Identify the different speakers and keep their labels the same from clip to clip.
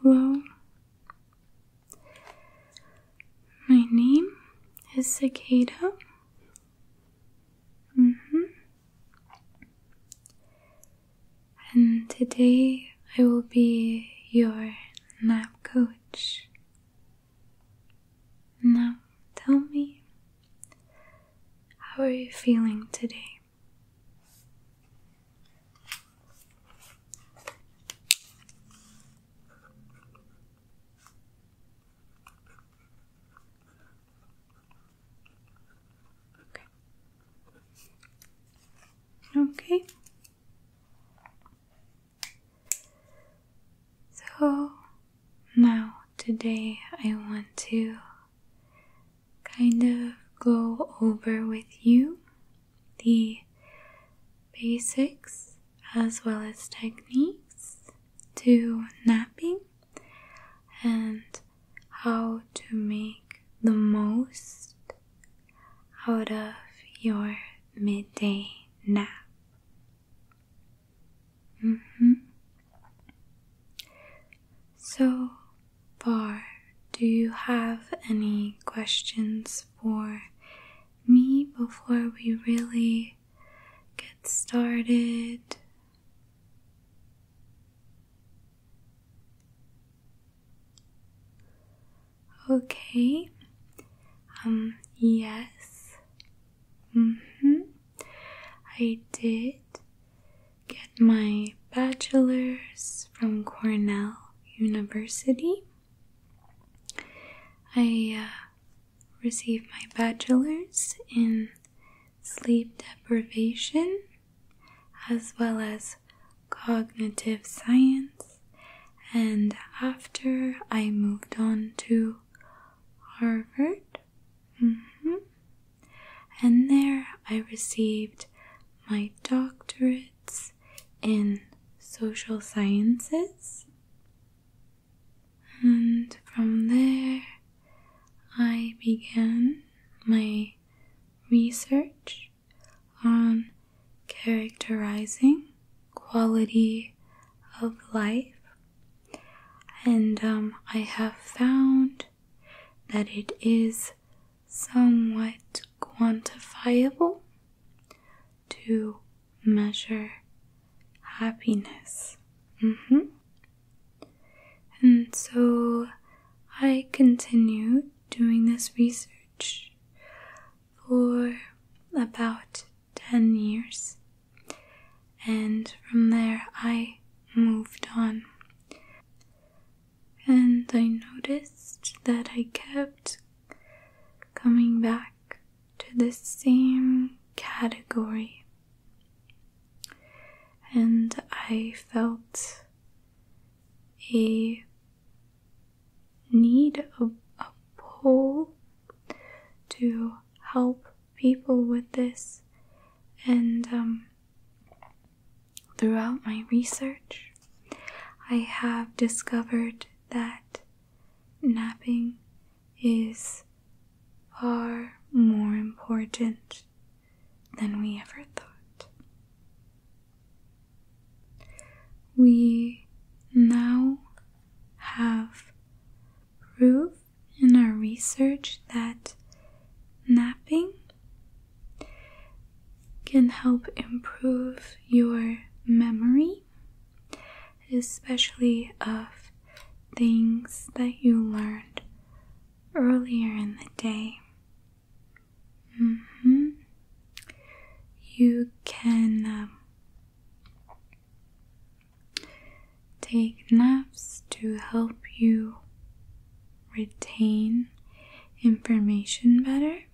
Speaker 1: Hello. My name is Cicada. -hmm. And today I will be your nap coach. Now tell me, how are you feeling today? Okay. Okay. So now today I want to kind of go over with you the basics as well as techniques to napping and how to make the most out of your midday nap. Mm-hmm. So far, do you have any questions for me before we really get started? Okay. Um, yes. Mm hmm. I did get my bachelor's from Cornell University. I uh, received my bachelor's in sleep deprivation as well as cognitive science, and after I moved on to Harvard. Mm-hmm. And there I received my doctorates in social sciences. And from there, I began my research on characterizing quality of life and um, I have found that it is somewhat quantifiable to measure happiness. Mm-hmm. And so I continue doing this research for about 10 years. And from there, I moved on. And I noticed that I kept coming back to the same category. And I felt a need of a pull to help people with this, and um, throughout my research, I have discovered that napping is far more important than we ever thought. We now have proof in our research that napping can help improve your memory, especially of things that you learned earlier in the day. Mm-hmm. You can um, Take naps to help you retain information better.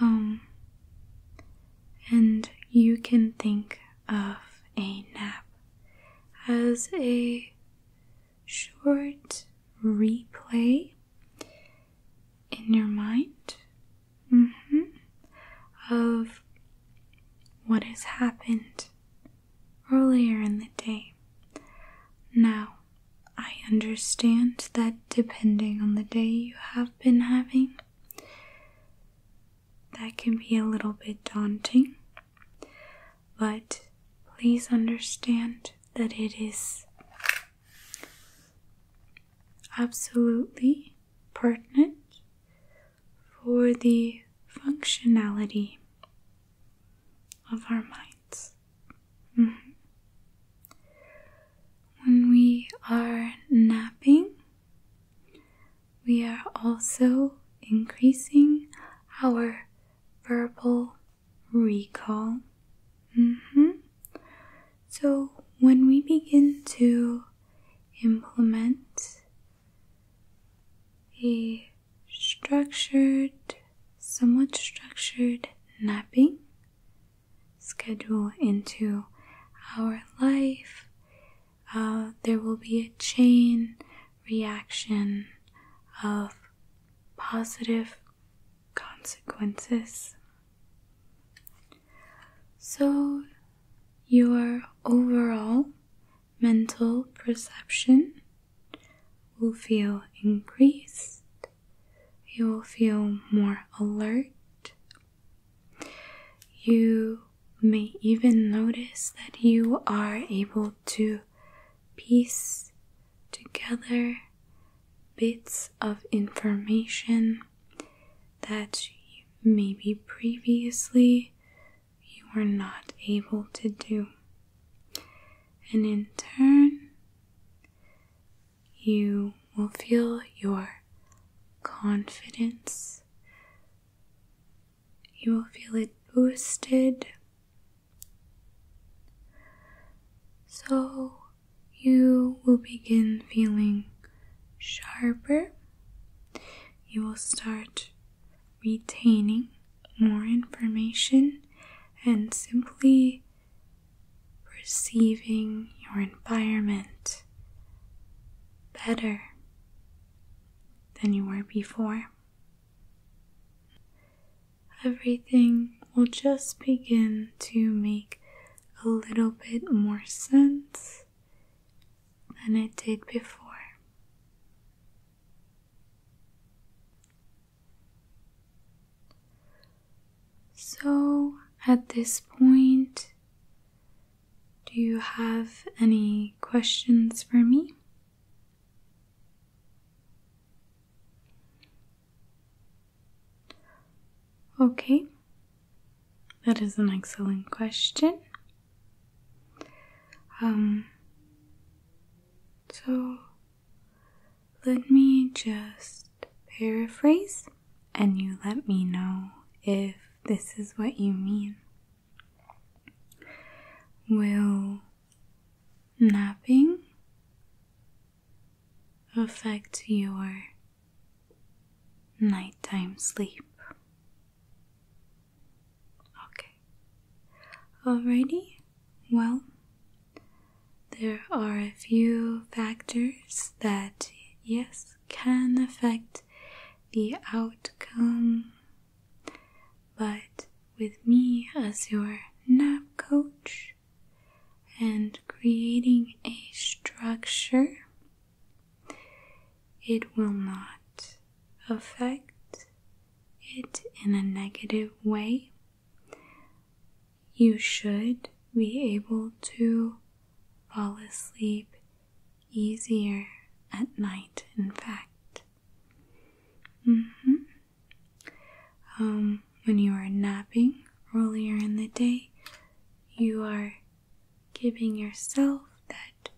Speaker 1: Um, and you can think of a nap as a short replay in your mind Mm-hmm. of what has happened earlier in the day. Now, I understand that depending on the day you have been having, that can be a little bit daunting, but please understand that it is absolutely pertinent for the functionality of our minds. Mm-hmm. When we are napping, we are also increasing our verbal recall. Mm-hmm. So, when we begin to implement a structured, somewhat structured napping schedule into our life, uh, there will be a chain reaction of positive consequences. So, your overall mental perception will feel increased, you will feel more alert. You may even notice that you are able to piece together bits of information that maybe previously you were not able to do. And in turn, you will feel your confidence. You will feel it boosted. So you will begin feeling sharper you will start retaining more information and simply perceiving your environment better than you were before. Everything will just begin to make a little bit more sense than it did before. So, at this point, do you have any questions for me? Okay, that is an excellent question. Um, so let me just paraphrase and you let me know if this is what you mean. Will napping affect your Nighttime sleep. Okay. Alrighty. Well, there are a few factors that, yes, can affect the outcome. But with me as your nap coach and creating a structure it will not affect it in a negative way. You should be able to fall asleep easier at night, in fact. Mm-hmm. Um, when you are napping earlier in the day, you are giving yourself that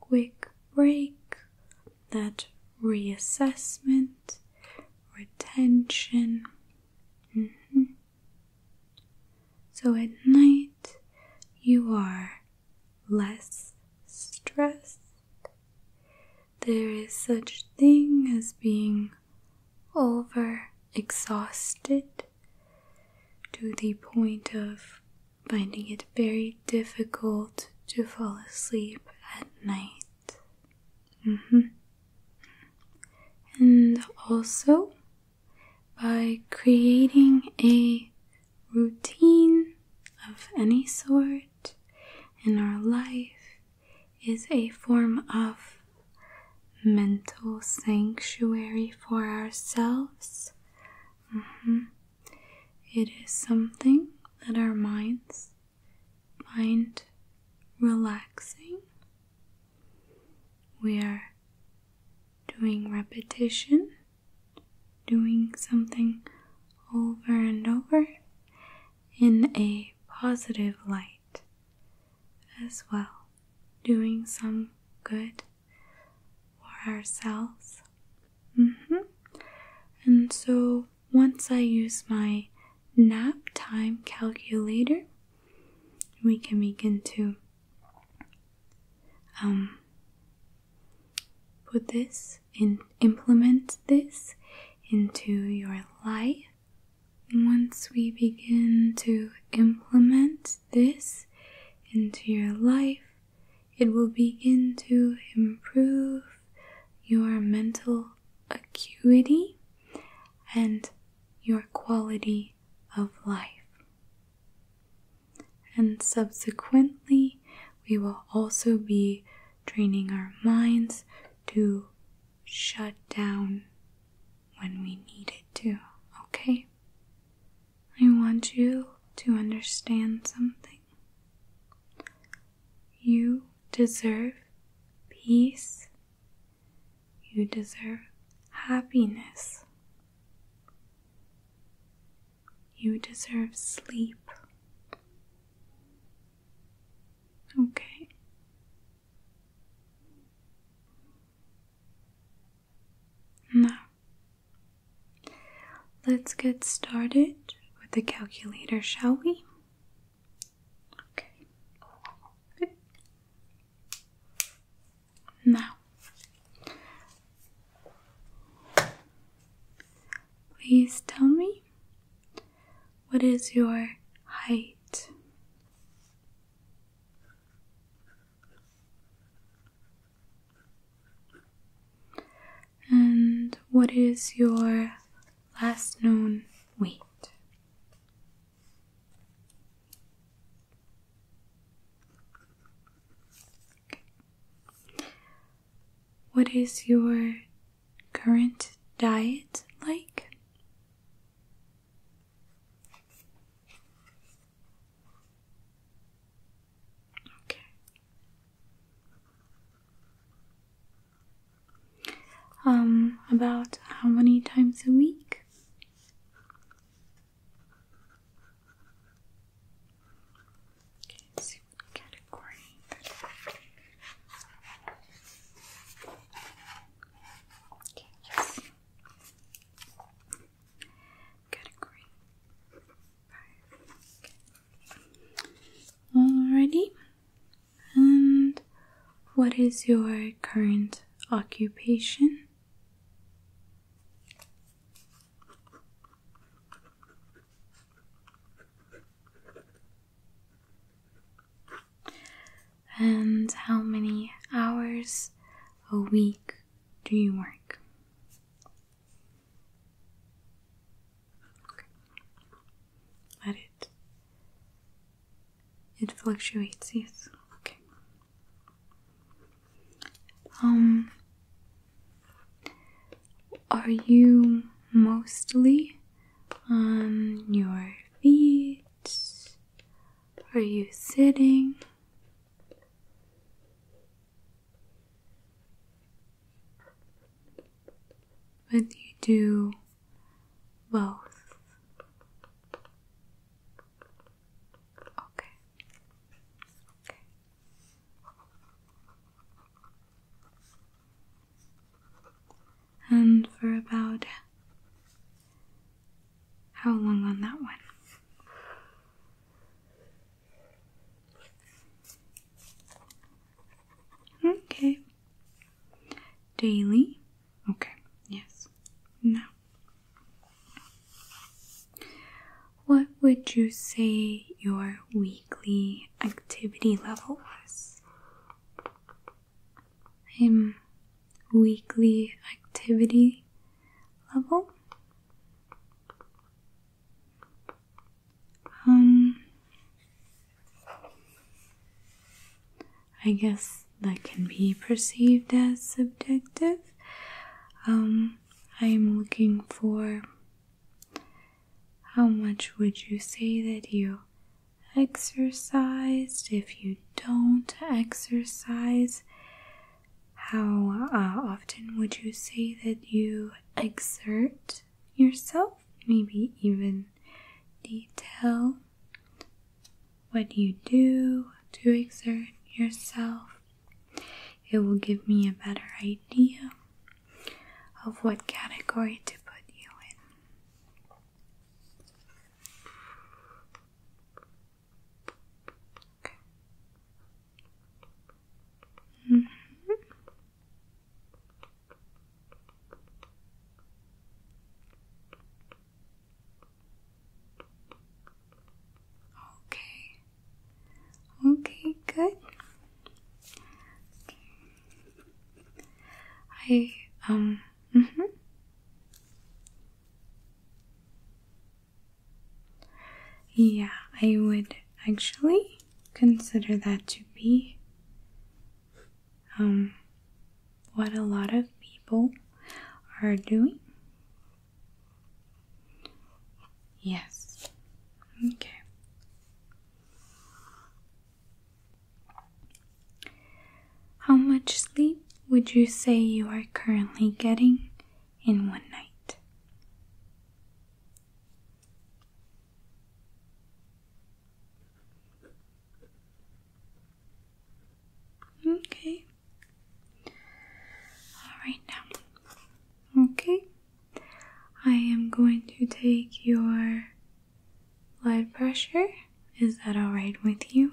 Speaker 1: quick break, that reassessment, retention. Mm-hmm. So at night, you are less stressed. There is such thing as being over exhausted to the point of finding it very difficult to fall asleep at night. Mm-hmm. And also by creating a routine of any sort in our life is a form of mental sanctuary for ourselves. Mm-hmm. It is something that our minds find relaxing. We are doing repetition, doing something over and over in a positive light as well, doing some good for ourselves. Mm-hmm. And so once I use my nap time calculator, we can begin to um, put this and implement this into your life. Once we begin to implement this into your life, it will begin to improve your mental acuity and your quality of life. And subsequently, we will also be training our minds to shut down when we need it to, okay? I want you to understand something. You deserve peace. You deserve happiness. You deserve sleep. Okay. Now, let's get started with the calculator, shall we? Okay. Now, please tell me what is your height? And what is your last known weight? What is your current diet like? Okay. Um, about how many times a week? Okay, category Okay, Category five. Alrighty. And what is your current occupation? and how many hours a week do you work? Let it. It fluctuates, yes. Okay. Um, are you mostly on your feet? Are you sitting? But you do both. Okay. Okay. And for about how long on that one? Okay. Daily? Okay. Yes. No. What would you say your weekly activity level was? i weekly activity level. Um, I guess that can be perceived as subjective. Um, I'm looking for how much would you say that you exercised if you don't exercise, how uh, often would you say that you exert yourself? Maybe even detail what you do to exert yourself. It will give me a better idea of what category to put you in. Okay. Okay. Okay, good. I um -hmm. Yeah, I would actually consider that to be um, what a lot of people are doing. Yes. Okay. How much sleep would you say you are currently getting in one night? Okay. All right now. Okay. I am going to take your blood pressure. Is that all right with you?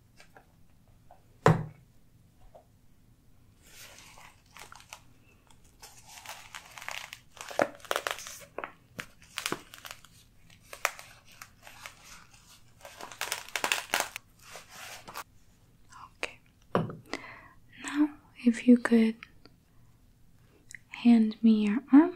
Speaker 1: Okay. Now, if you could hand me your arm.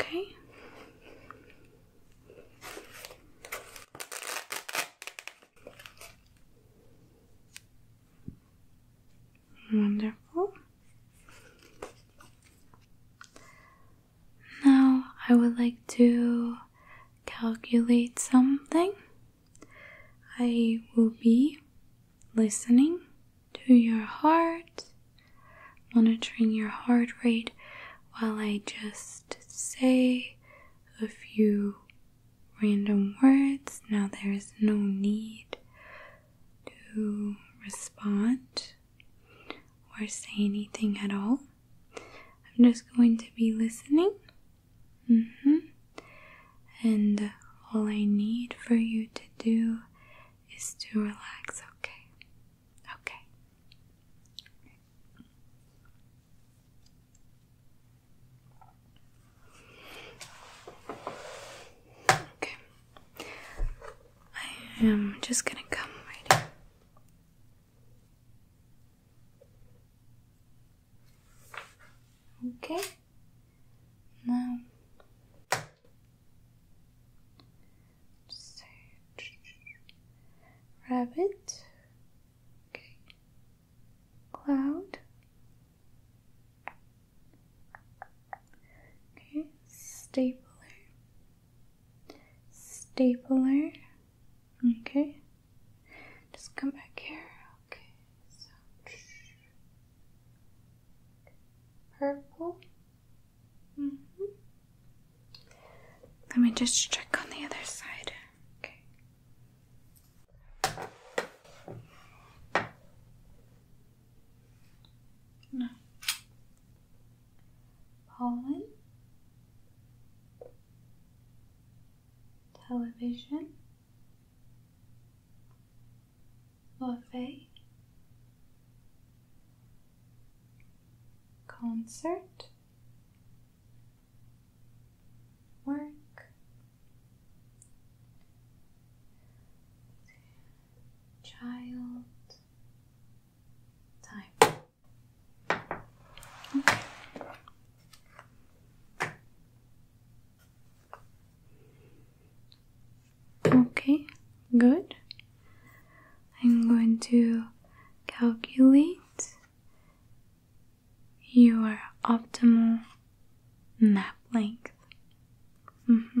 Speaker 1: Okay. Wonderful. Now I would like to calculate something. I will be listening to your heart, monitoring your heart rate while I just say a few random words. Now there is no need to respond or say anything at all. I'm just going to be listening. Mm -hmm. And all I need for you to do is to relax, okay? Okay. Okay. I am just gonna come right here. Okay. No. rabbit, okay, cloud, okay, stapler, stapler, okay, just come back here, okay, Purple. Mm-hmm. Let me just check on the other side. Okay. No. Pollen. Television. Love concert work child time okay. Okay, good. I'm going to calculate your optimal nap length. Mm-hmm.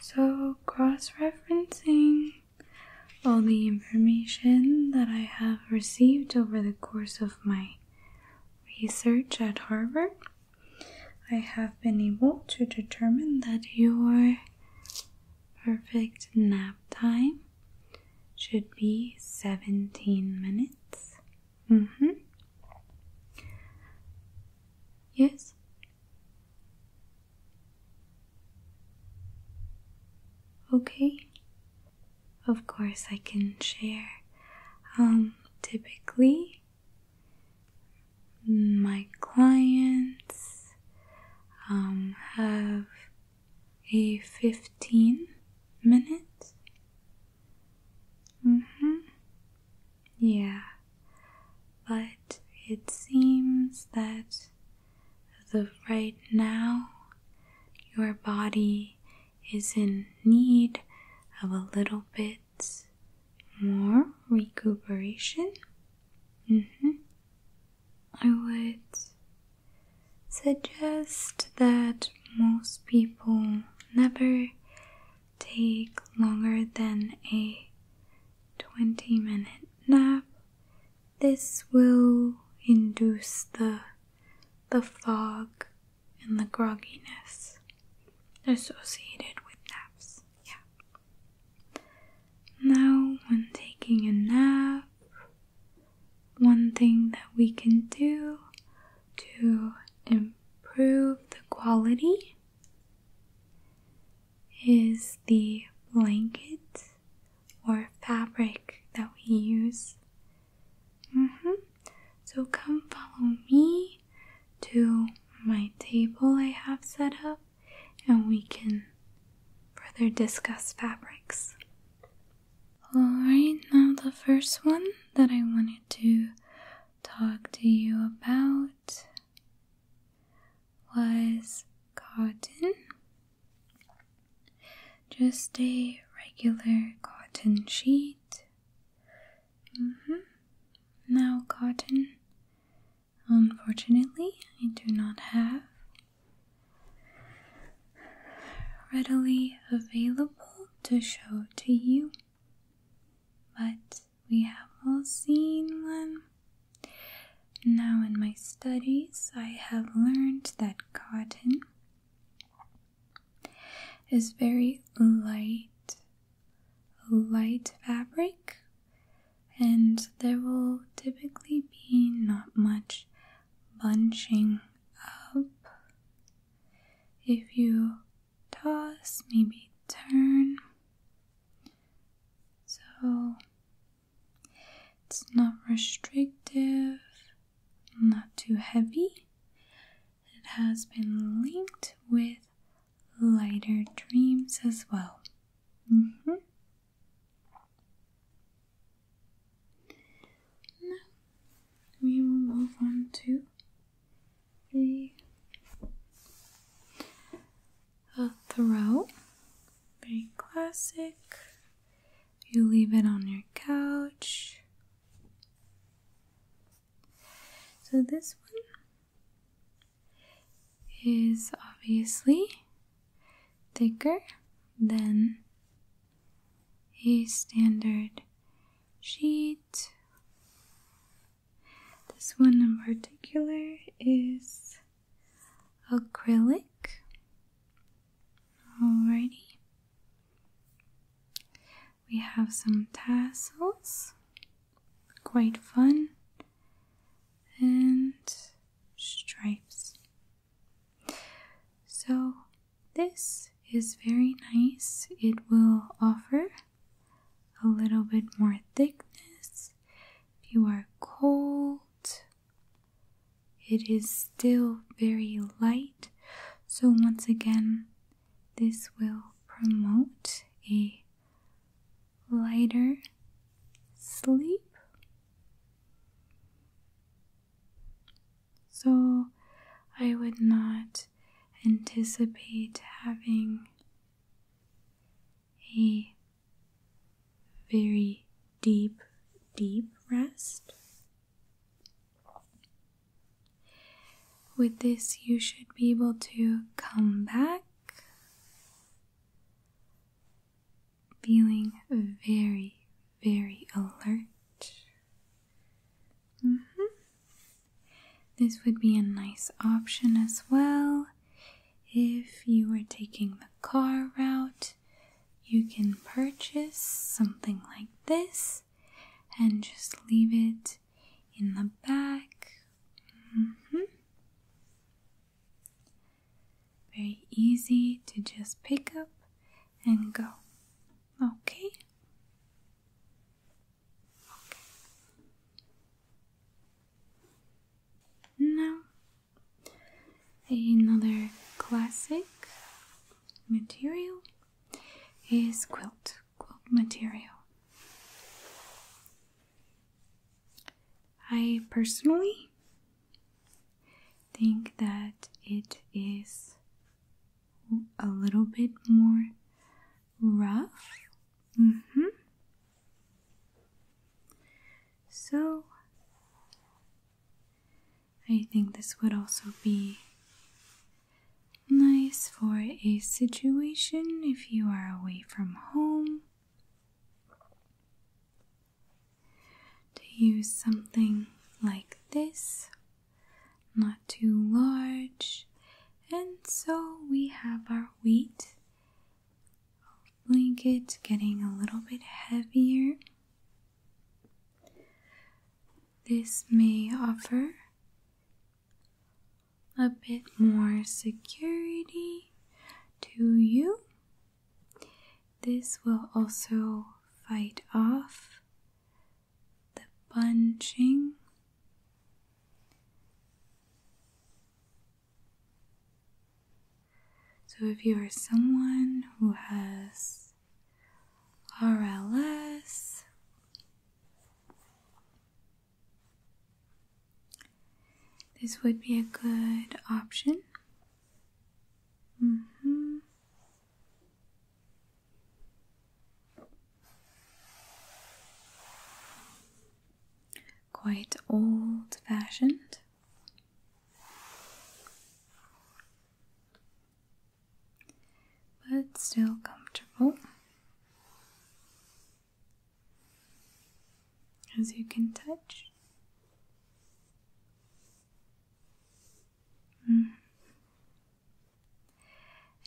Speaker 1: So. cross referencing all the information that I have received over the course of my research at Harvard I have been able to determine that your perfect nap time should be 17 minutes. Mm hmm. Yes. Okay. Of course, I can share. Um, typically, my clients um, have a 15 minute mm-hmm. yeah but it seems that as right now your body is in need of a little bit more recuperation. Mm-hmm. I would suggest that most people never take longer than a 20 minute nap. This will induce the the fog and the grogginess associated with naps yeah. Now, when taking a nap, one thing that we can do to improve the quality is the blanket or fabric that we use. -hmm. So come follow me to my table I have set up, and we can further discuss fabrics. Alright, now the first one that I wanted to talk to you about was cotton. Just a regular cotton sheet. Mm-hmm. Now, cotton. Unfortunately, I do not have readily available to show to you, but we have all seen one. Now, in my studies, I have learned that cotton is very light light fabric, and there will typically be not much bunching up. If you toss, maybe turn. So it's not restrictive, not too heavy, it has been linked with lighter dreams as well. Mm-hmm. Now we will move on to the a throw. Very classic. You leave it on your couch. So this one is obviously thicker than a standard sheet. This one in particular is acrylic. Alrighty. We have some tassels, quite fun, and stripes. So, this is very nice. It will offer a little bit more thickness you are cold. It is still very light, so once again, this will promote a lighter sleep. So, I would not anticipate having a very deep, deep rest. With this, you should be able to come back feeling very, very alert. Mm-hmm. This would be a nice option as well. If you are taking the car route, you can purchase something like this and just leave it in the back. Mm-hmm. Very easy to just pick up and go. Okay. okay. Now, another classic material is quilt quilt material. I personally think that it is a little bit more rough. Mm-hmm. So I think this would also be Nice for a situation if you are away from home. To use something like this, not too large, and so we have our weight blanket getting a little bit heavier. This may offer a bit more security to you. This will also fight off the bunching. So, if you are someone who has RLS this would be a good option. hmm. Quite old fashioned. But still comfortable as you can touch. Mm.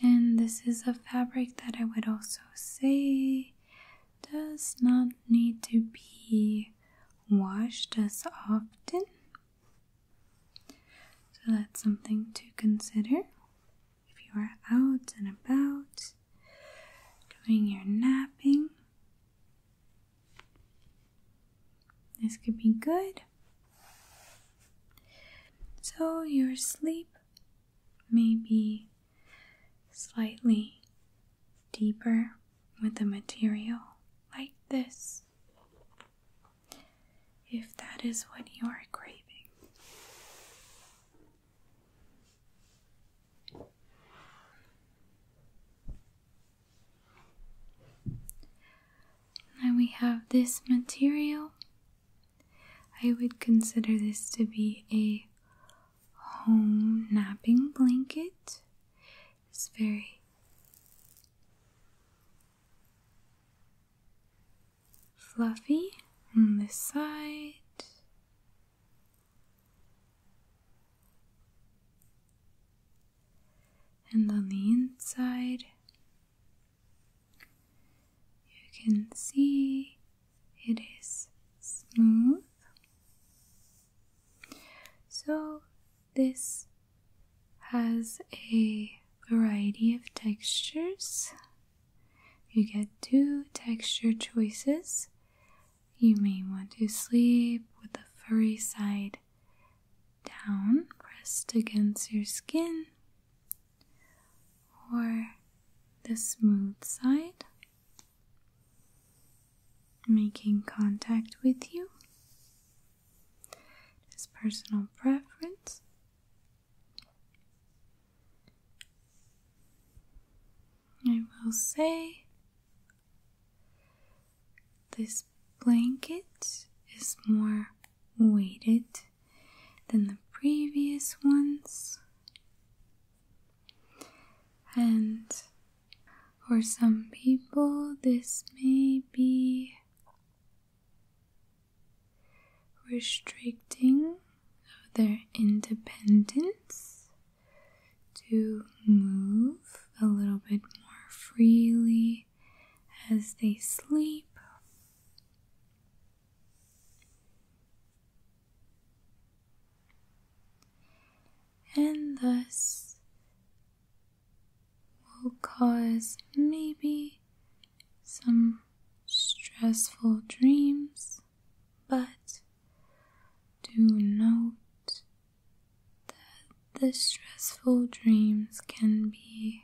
Speaker 1: And this is a fabric that I would also say does not need to be washed as often. So that's something to consider if you are out and about doing your napping. This could be good. So your sleep may be slightly deeper with the material like this if that is what you are craving. Now we have this material. I would consider this to be a home napping blanket. It's very fluffy on this side. And on the inside, you can see it is smooth. So, this has a variety of textures. You get two texture choices. You may want to sleep with the furry side down, pressed against your skin, or the smooth side, making contact with you. It's personal preference. I will say this blanket is more weighted than the previous ones, and for some people, this may be restricting their independence to move a little bit more freely as they sleep. And thus will cause maybe some stressful dreams, but do note that the stressful dreams can be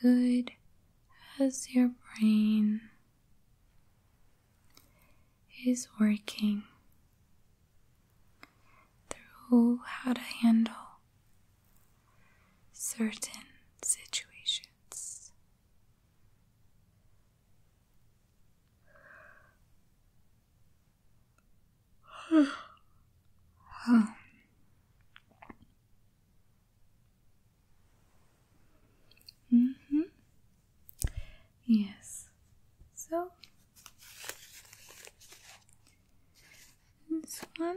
Speaker 1: good as your brain is working through how to handle certain situations. hmm Yes. So this one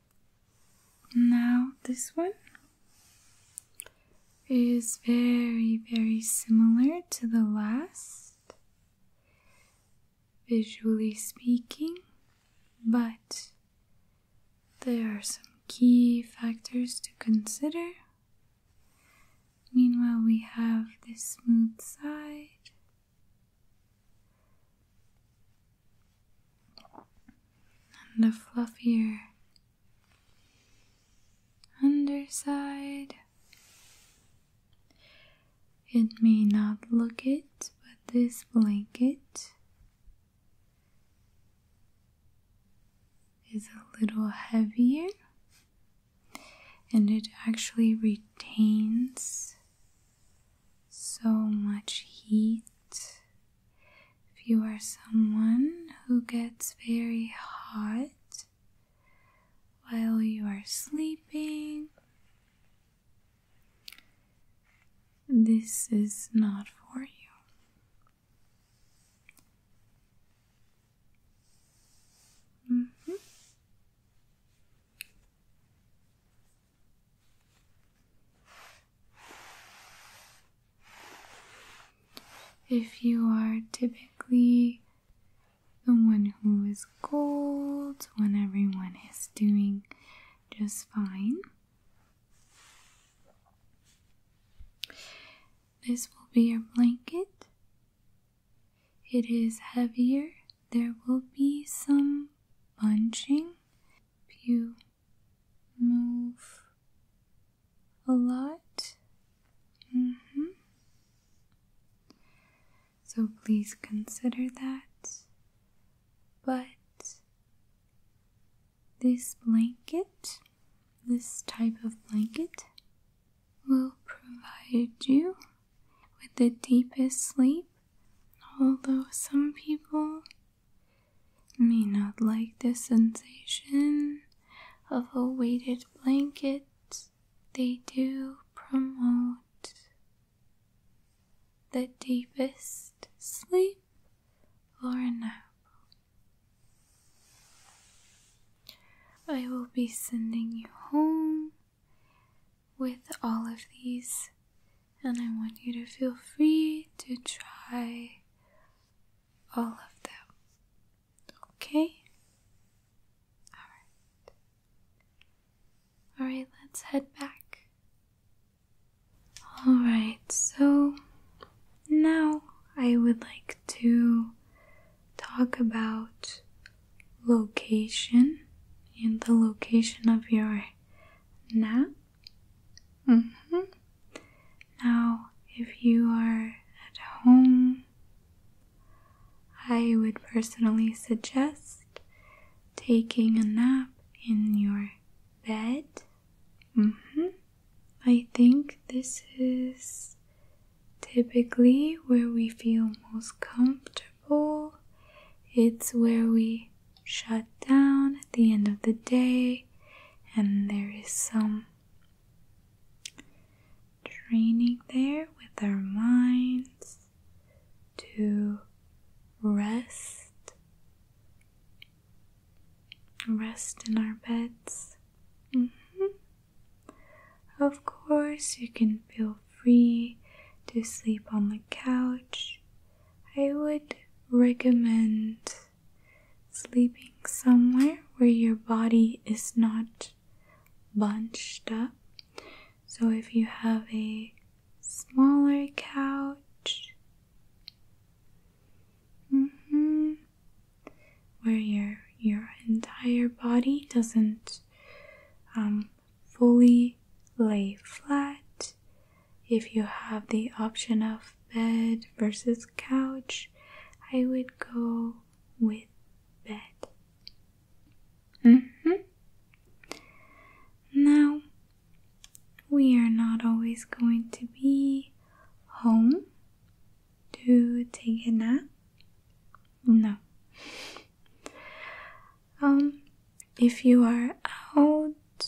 Speaker 1: Now, this one is very, very similar to the last, visually speaking, but there are some key factors to consider. Meanwhile, we have this smooth side and the fluffier underside. It may not look it, but this blanket is a little heavier and it actually retains so much heat. If you are someone who gets very hot while you are sleeping, this is not for you. -hmm. If you are typically the one who is cold when everyone is doing just fine, this will be your blanket. It is heavier. There will be some bunching. Pew move a lot. Mm-hmm. So please consider that. But this blanket, this type of blanket, will provide you with the deepest sleep. Although some people may not like the sensation of a weighted blanket they do promote the deepest sleep or a nap. I will be sending you home with all of these, and I want you to feel free to try all of them. Okay? Alright. Alright, let's head back. Alright, so now I would like to talk about location and the location of your nap -hmm. Now, if you are at home, I would personally suggest taking a nap in your bed. -hmm. I think this is typically where we feel most comfortable oh, it's where we shut down at the end of the day, and there is some training there with our minds to rest, rest in our beds. Mm-hmm. Of course, you can feel free to sleep on the couch I would recommend sleeping somewhere where your body is not bunched up. So if you have a smaller couch, mm-hmm, where your your entire body doesn't um, fully lay flat. If you have the option of bed versus couch, I would go with bed. Mm -hmm. Now, we are not always going to be home to take a nap. No um, if you are out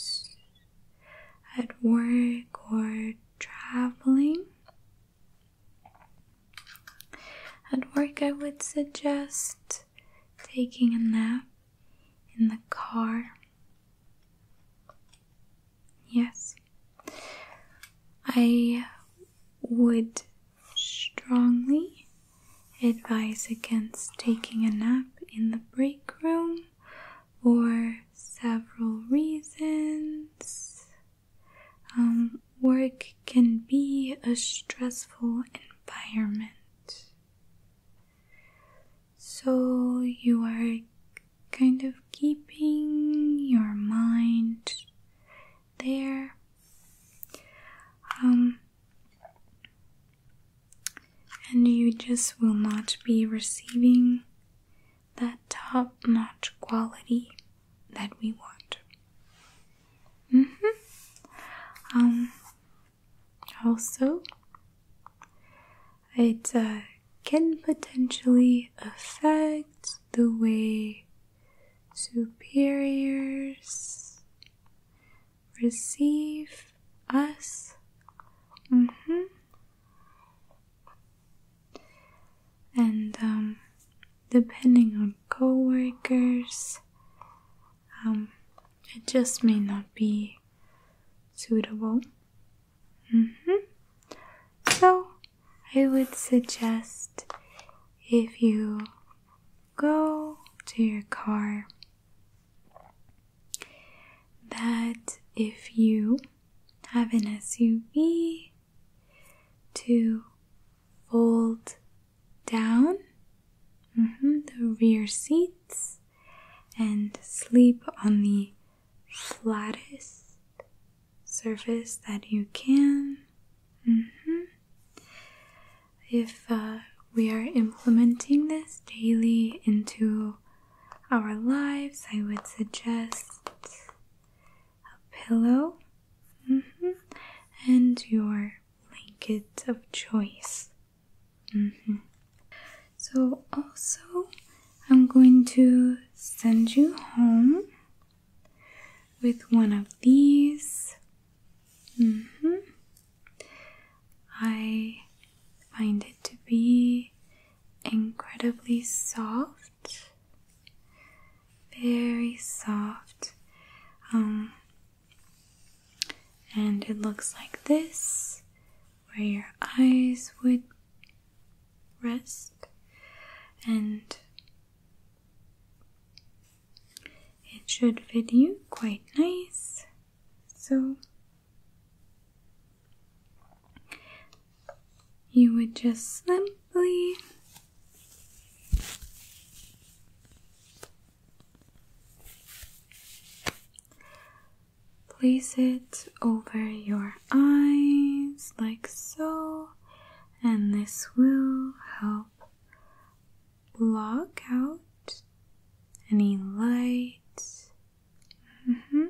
Speaker 1: at work or traveling, at work, I would suggest taking a nap in the car. Yes, I would strongly Advice against taking a nap in the break room for several reasons. Um, work can be a stressful environment. So you are kind of keeping your mind there. Um, and you just will not be receiving that top notch quality that we want. Mm-hmm. Um, also, it uh, can potentially affect the way superiors receive us. Mm -hmm. And um, depending on coworkers, um, it just may not be suitable. Mm -hmm. So, I would suggest if you go to your car that if you have an SUV to fold down mm-hmm, the rear seats and sleep on the flattest surface that you can. Mm-hmm, if uh, we are implementing this daily into our lives, I would suggest a pillow mm-hmm, and your blanket of choice. Mm-hmm. So, also, I'm going to send you home with one of these Mm hmm. I find it to be incredibly soft, very soft. Um, and it looks like this, where your eyes would rest, and it should fit you quite nice. So you would just simply place it over your eyes like so, and this will help block out any lights? Mm -hmm.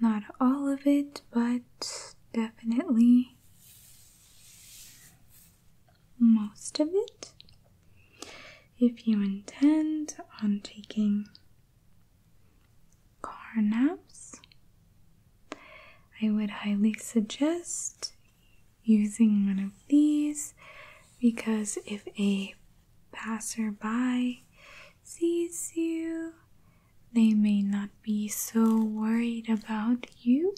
Speaker 1: Not all of it, but definitely most of it. If you intend on taking car naps, I would highly suggest using one of these because if a passerby sees you, they may not be so worried about you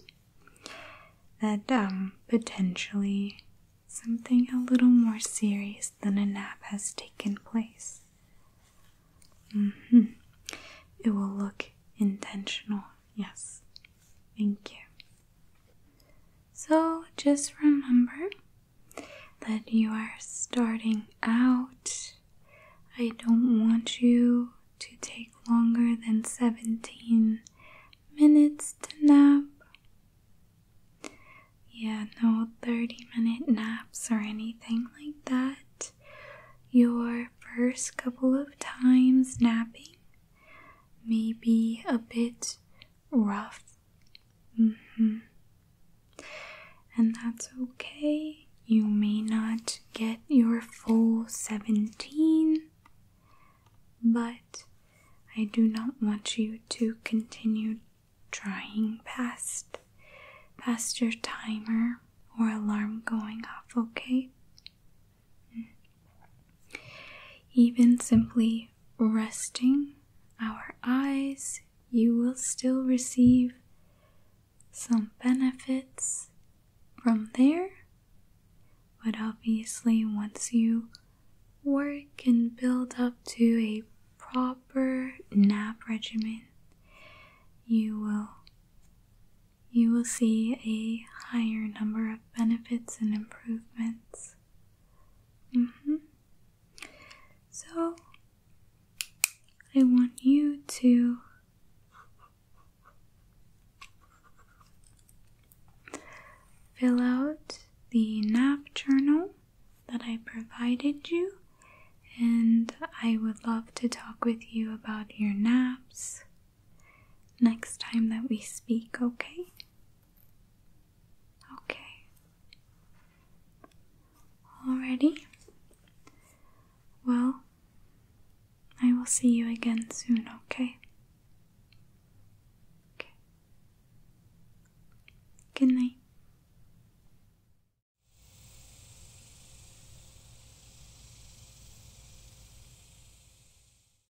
Speaker 1: that um, potentially something a little more serious than a nap has taken place. Mm-hmm. It will look intentional, yes. Thank you. So just remember that you are starting out. I don't want you to take longer than 17 minutes to nap. Yeah, no 30 minute naps or anything like that. Your first couple of times napping may be a bit rough. Mm-hmm. And that's okay. You may not get your full 17, but I do not want you to continue trying past past your timer or alarm going off, okay? Even simply resting our eyes, you will still receive some benefits from there. But obviously, once you work and build up to a proper nap regimen, you will you will see a higher number of benefits and improvements. Mm -hmm. So I want you to fill out the nap journal that I provided you, and I would love to talk with you about your naps next time that we speak, okay? Okay. Alrighty. Well, I will see you again soon, okay? Okay. Good night.